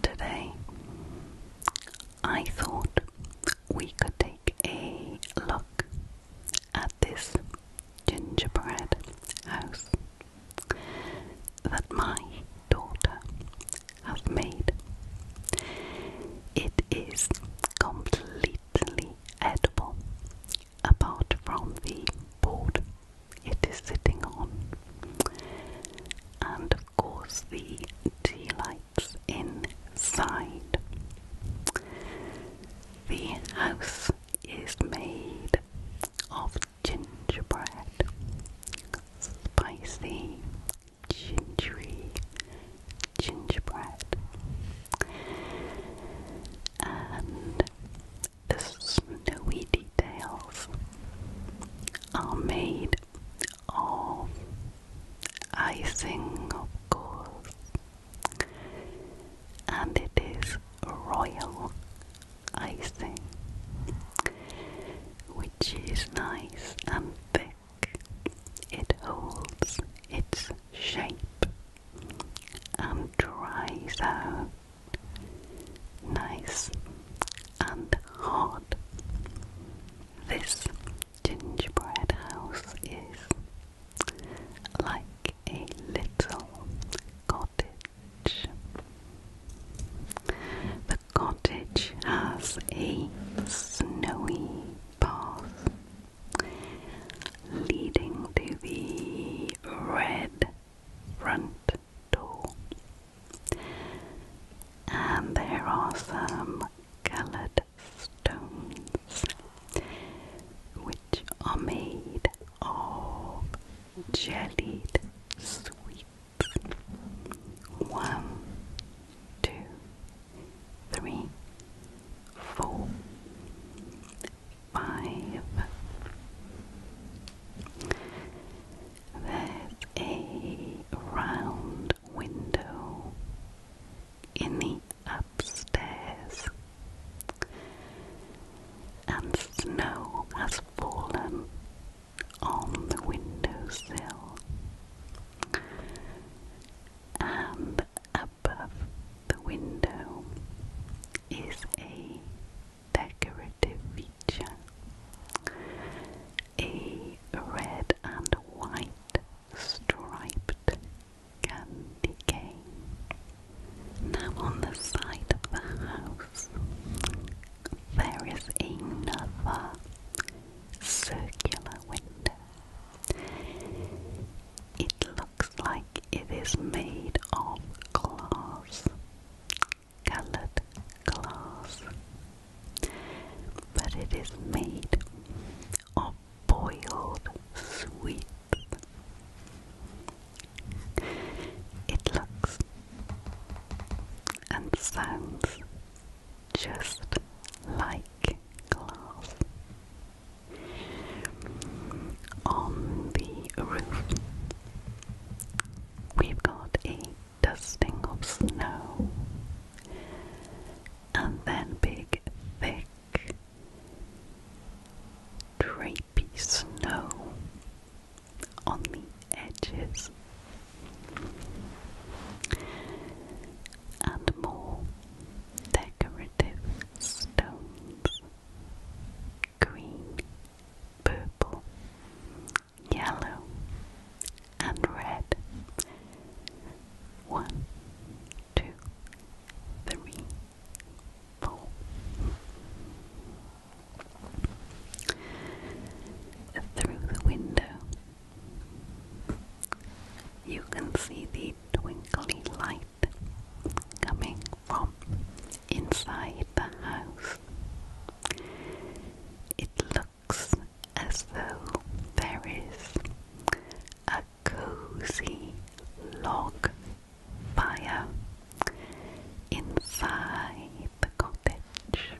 Today, I thought we could take a look at this gingerbread house that my daughter has made. It is completely edible apart from the board it is sitting on. And of course, the tea lights inside. The house is made of gingerbread, spicy, gingery gingerbread, and the snowy details are made of icing, of course, and it is royal icing, which is nice and thick. It holds its shape and dries out nice and hot. This gingerbread house is like a little cottage. The cottage has a snowy path leading to the red front door. And there are some coloured stones which are made of jellied sweets. One, two, three, four, five. There's a round window in the upstairs, and snow has fallen on the windowsill. And above the window is a decorative feature. A red and white striped candy cane. Now, on the side of the house, there is another circular window. It looks like it is made of glass, colored glass, but it is made of boiled sweets. It looks and sounds just like glass. On the roof, we've got a dusting of snow, and then big, thick, drapey snow on the edges, and more decorative stones green, purple, yellow, and red. One, two, three, four. Through the window, you can see the twinkly light coming from inside the house. It looks as though there is a cozy log fire inside the cottage.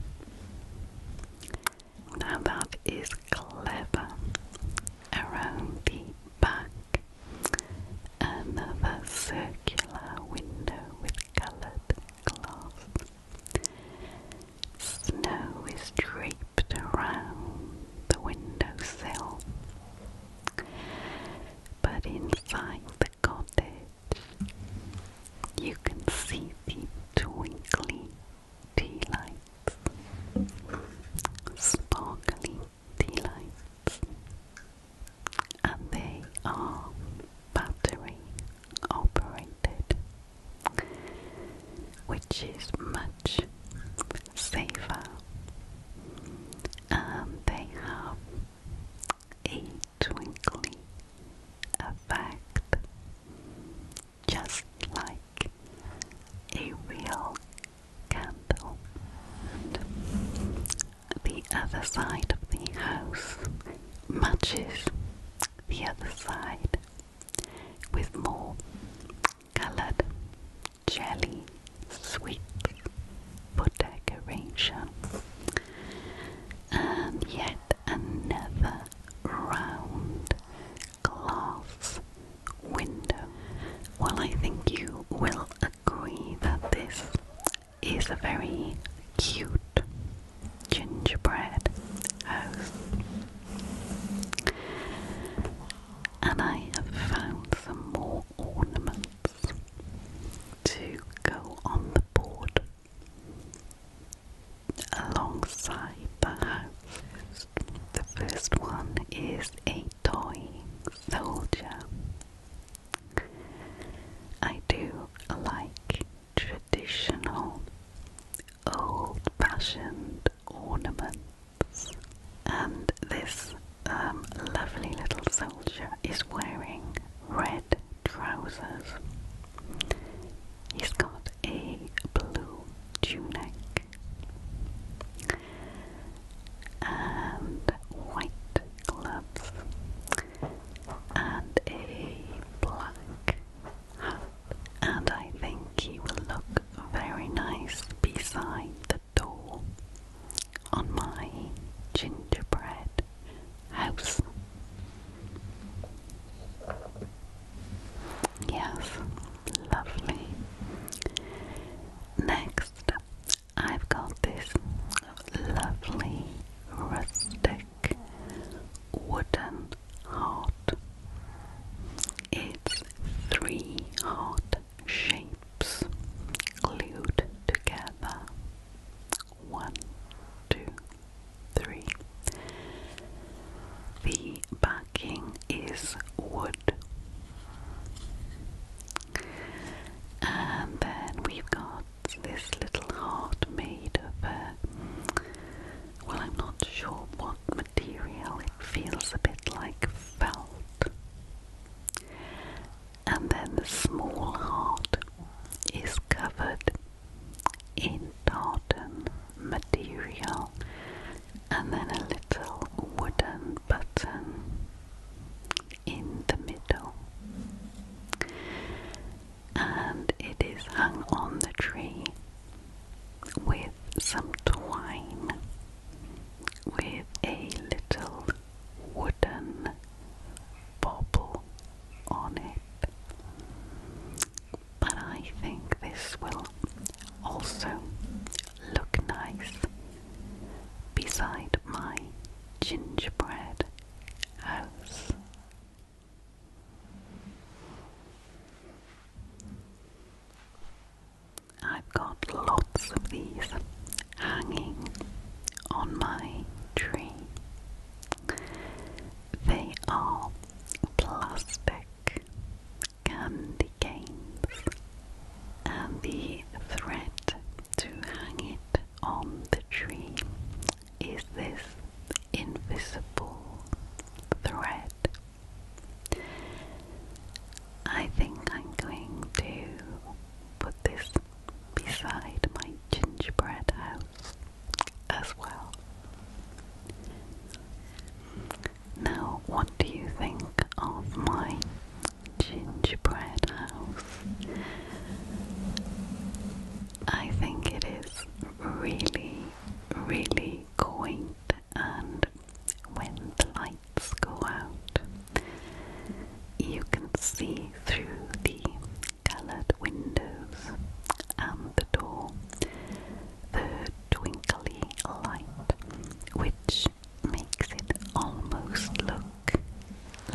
Now that is clever. Around the back Another circular window with coloured glass. Snow is draped around the windowsill. But inside the cottage, you can see the twinkling tea lights sparkling the lights, and they are battery operated, which is much safer, and they have a twinkly effect, just like a real candle. And the other side of the house matches the other side with more coloured jelly sweets for decoration. And yet another round glass window. Well, I think you will agree that this is a very cute gingerbread house. And I have found some more ornaments to go on the board alongside the house. The first one is a toy soldier. I do like traditional, old fashioned ornaments, and this um, lovely little soldier is wearing red trousers. He's got a blue tunic and white gloves and a black hat and I think he will look very nice beside the door on my gingerbread house. Yes, lovely. Next, I've got this lovely rustic wooden heart. It's three heart shapes glued together. One, two, three. The back marking is wood. And then we've got this little heart made of, uh, well, I'm not sure what material, it feels a bit like felt. And then the small heart is covered in garden material, and then a little wooden button in the middle. And it is hung on the tree with some twine with a little wooden bobble on it but I think this will also look nice beside my gingerbread house. I've got lots of these hanging on my tree they are plastic candy canes, and the thread to hang it on the tree is this invisible thread. I think I'm going to put this beside my gingerbread house as well. Now, what do you think of my gingerbread house? I think it is really, really quaint, and when the lights go out, you can see through the coloured windows and the door the twinkly light, which makes it almost look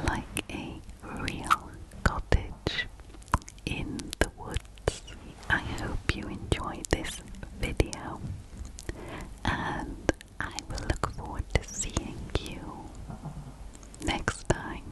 like a real cottage in the woods. I hope you enjoyed this video and I will look forward to seeing you next time.